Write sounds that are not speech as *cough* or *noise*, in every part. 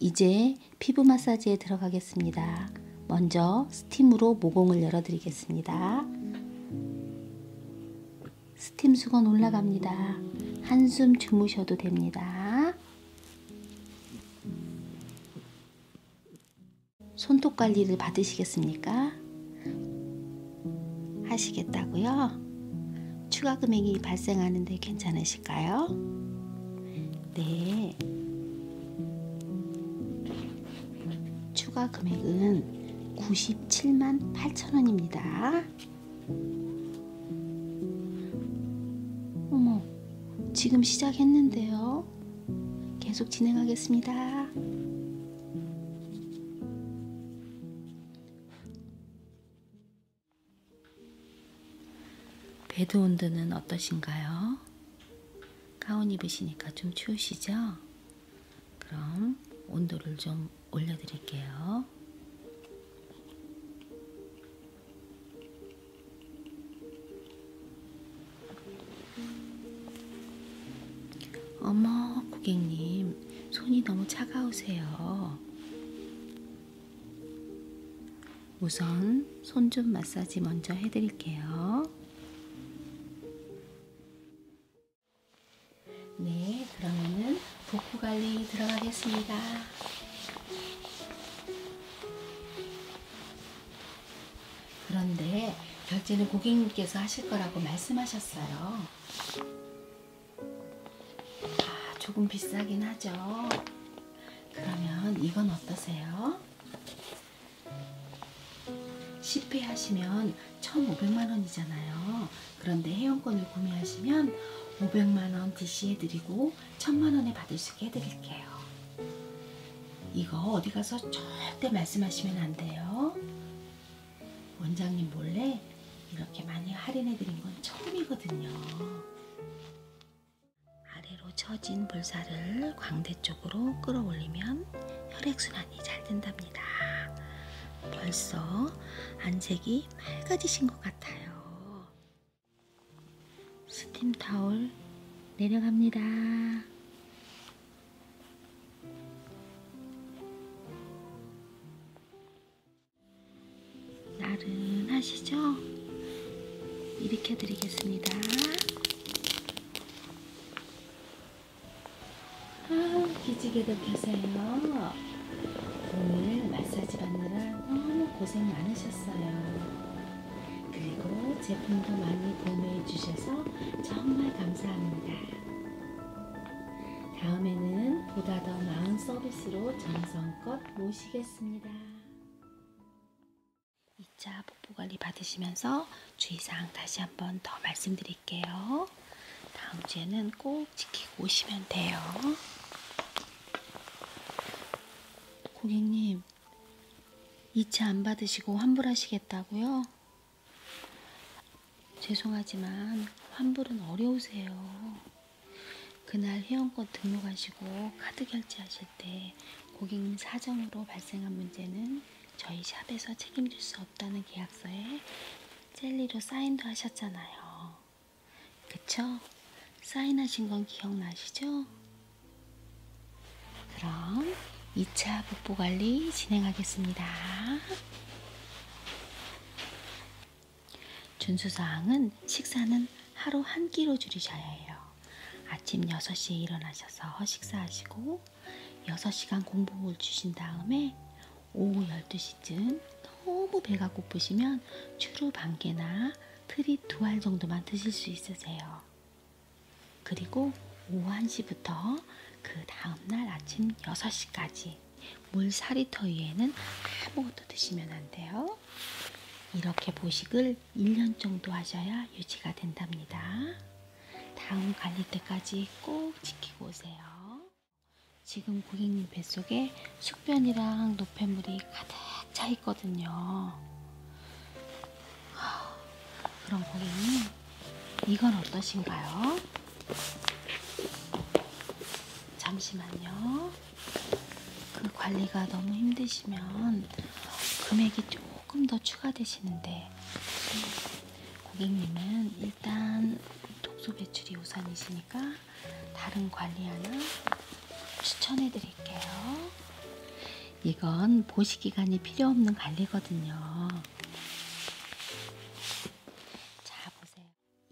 이제 피부 마사지에 들어가겠습니다. 먼저 스팀으로 모공을 열어드리겠습니다. 스팀 수건 올라갑니다. 한숨 주무셔도 됩니다. 손톱 관리를 받으시겠습니까? 하시겠다고요? 추가 금액이 발생하는데 괜찮으실까요? 네. 추가 금액은 97만 8천 원입니다. 어머, 지금 시작했는데요. 계속 진행하겠습니다. 베드 온도는 어떠신가요? 가운 입으시니까 좀 추우시죠? 그럼 온도를 좀 올려드릴게요. 어머, 고객님, 손이 너무 차가우세요. 우선 손 좀 마사지 먼저 해드릴게요. 네, 그러면은 복부 관리 들어가겠습니다. 그런데 결제는 고객님께서 하실 거라고 말씀하셨어요. 아, 조금 비싸긴 하죠. 그러면 이건 어떠세요? 10회 하시면 1,500만원이잖아요. 그런데 회원권을 구매하시면 500만원 DC 해드리고 1,000만원에 받을 수 있게 해드릴게요. 이거 어디 가서 절대 말씀하시면 안 돼요. 원장님 몰래 이렇게 많이 할인해드린 건 처음이거든요. 아래로 처진 볼살을 광대 쪽으로 끌어올리면 혈액순환이 잘 된답니다. 벌써 안색이 맑아지신 것 같아요. 스팀 타올 내려갑니다. 나른하시죠? 일으켜 드리겠습니다. 아, 기지개도 펴세요. 오늘 마사지 받느라 너무 고생 많으셨어요. 그리고 제품도 많이 구매해 주셔서 정말 감사합니다. 다음에는 보다 더 나은 서비스로 정성껏 모시겠습니다. 2차 복부 관리 받으시면서 주의사항 다시 한번 더 말씀드릴게요. 다음 주에는 꼭 지키고 오시면 돼요. 고객님, 2차 안 받으시고 환불하시겠다고요? 죄송하지만 환불은 어려우세요. 그날 회원권 등록하시고 카드 결제하실 때 고객님 사정으로 발생한 문제는 저희 샵에서 책임질 수 없다는 계약서에 젤리로 사인도 하셨잖아요. 그쵸? 사인하신 건 기억나시죠? 그럼 2차 복부 관리 진행하겠습니다. 준수사항은 식사는 하루 한 끼로 줄이셔야 해요. 아침 6시에 일어나셔서 식사하시고 6시간 공복을 주신 다음에 오후 12시쯤 너무 배가 고프시면 추루 반개나 트리 두 알 정도만 드실 수 있으세요. 그리고 오후 1시부터 그 다음날 아침 6시까지 물사리터 위에는 아무것도 드시면 안 돼요. 이렇게 보식을 1년 정도 하셔야 유지가 된답니다. 다음 갈릴 때까지 꼭 지키고 오세요. 지금 고객님 뱃속에 숙변이랑 노폐물이 가득 차 있거든요. 그럼 고객님, 이건 어떠신가요? 잠시만요. 그 관리가 너무 힘드시면 금액이 조금 더 추가되시는데 고객님은 일단 독소 배출이 우선이시니까 다른 관리 하나 추천해 드릴게요. 이건 보시기간이 필요 없는 관리거든요. 자, 보세요. 주세요. 네,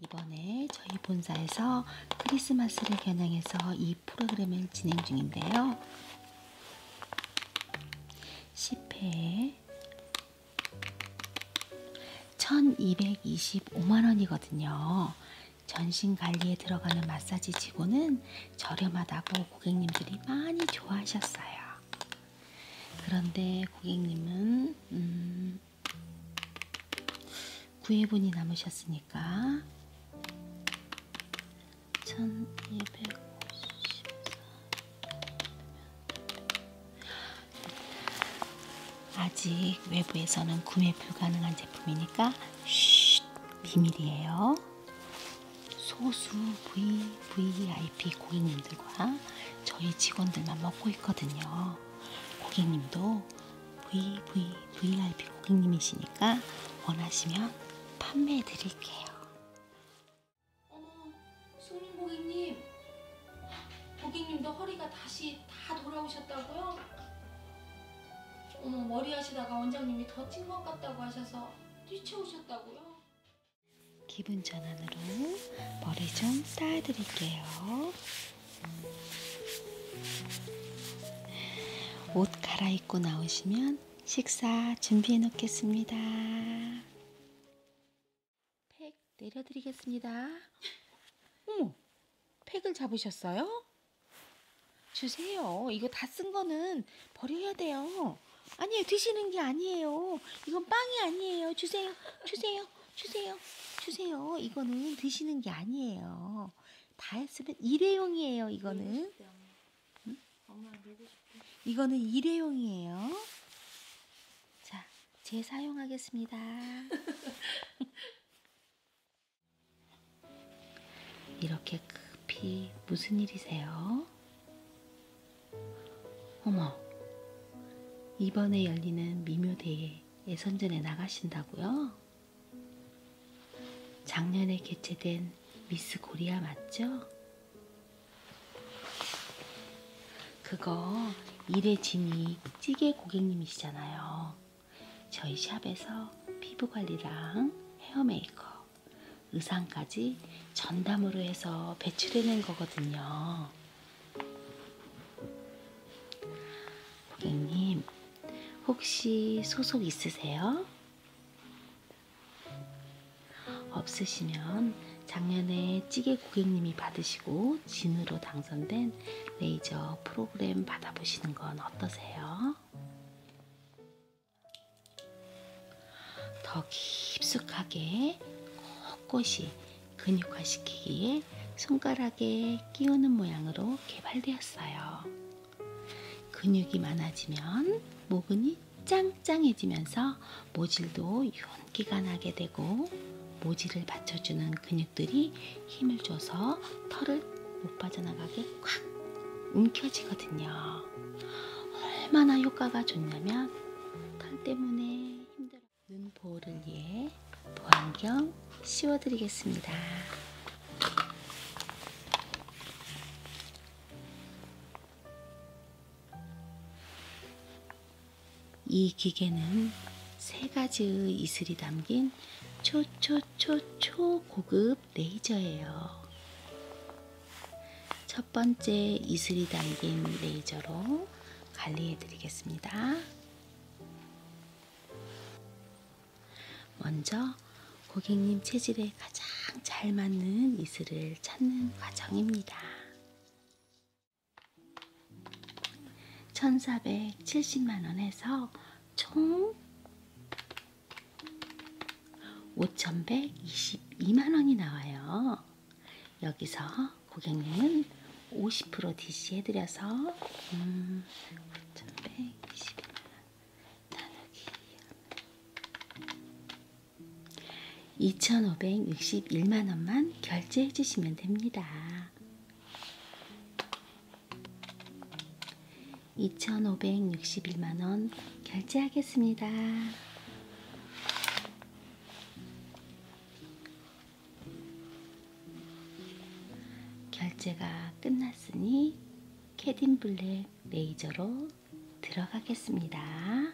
이번에 저희 본사에서 크리스마스를 겨냥해서 이 프로그램을 진행 중인데요. 10회에 1225만원이거든요. 전신 관리에 들어가는 마사지 치고는 저렴하다고 고객님들이 많이 좋아하셨어요. 그런데 고객님은 음, 9회분이 남으셨으니까 1254 아직 외부에서는 구매 불가능한 제품이니까 쉿 비밀이에요. 소수 부인 VIP 고객님들과 저희 직원들만 먹고 있거든요. 고객님도 VV, VIP 고객님이시니까 원하시면 판매해 드릴게요. 어머, 손님 고객님. 고객님도 허리가 다시 다 돌아오셨다고요? 어머, 머리 하시다가 원장님이 더 찐 것 같다고 하셔서 뛰쳐오셨다고요? 기분 전환으로 머리 좀 쌓아드릴게요. 옷 갈아입고 나오시면 식사 준비해 놓겠습니다. 팩 내려드리겠습니다. 어머, 팩을 잡으셨어요? 주세요. 이거 다 쓴 거는 버려야 돼요. 아니에요. 드시는 게 아니에요. 이건 빵이 아니에요. 주세요. 주세요, 주세요, 주세요. 이거는 드시는 게 아니에요. 다 했으면 일회용이에요. 이거는. 네, 응? 이거는 일회용이에요. 자, 재사용하겠습니다. *laughs* 이렇게 급히 무슨 일이세요? 어머, 이번에 열리는 미묘대회 예선전에 나가신다고요? 작년에 개최된 미스 코리아 맞죠? 그거 일의 진이 찌개 고객님이시잖아요. 저희 샵에서 피부 관리랑 헤어 메이크업, 의상까지 전담으로 해서 배출해낸 거거든요. 고객님, 혹시 소속 있으세요? 없으시면 작년에 찌개 고객님이 받으시고 진으로 당선된 레이저 프로그램 받아보시는 건 어떠세요? 더 깊숙하게 꼿꼿이 근육화시키기에 손가락에 끼우는 모양으로 개발되었어요. 근육이 많아지면 모근이 짱짱해지면서 모질도 윤기가 나게 되고 모질을 받쳐주는 근육들이 힘을 줘서 털을 못 빠져나가게 콱 움켜쥐거든요. 얼마나 효과가 좋냐면 털 때문에 힘들어 눈 보호를 위해 보안경 씌워드리겠습니다. 이 기계는 세 가지의 이슬이 담긴 초초초초 고급 레이저예요. 첫 번째 이슬이 달린 레이저로 관리해 드리겠습니다. 먼저 고객님 체질에 가장 잘 맞는 이슬을 찾는 과정입니다. 1470만원에서 총 5122만원이 나와요. 여기서 고객님은 50% DC 해드려서 음, 5,120원 나누기 2,561만원만 결제해 주시면 됩니다. 2,561만원 결제하겠습니다. 결제가 끝났으니 캐딘 블랙 레이저로 들어가겠습니다.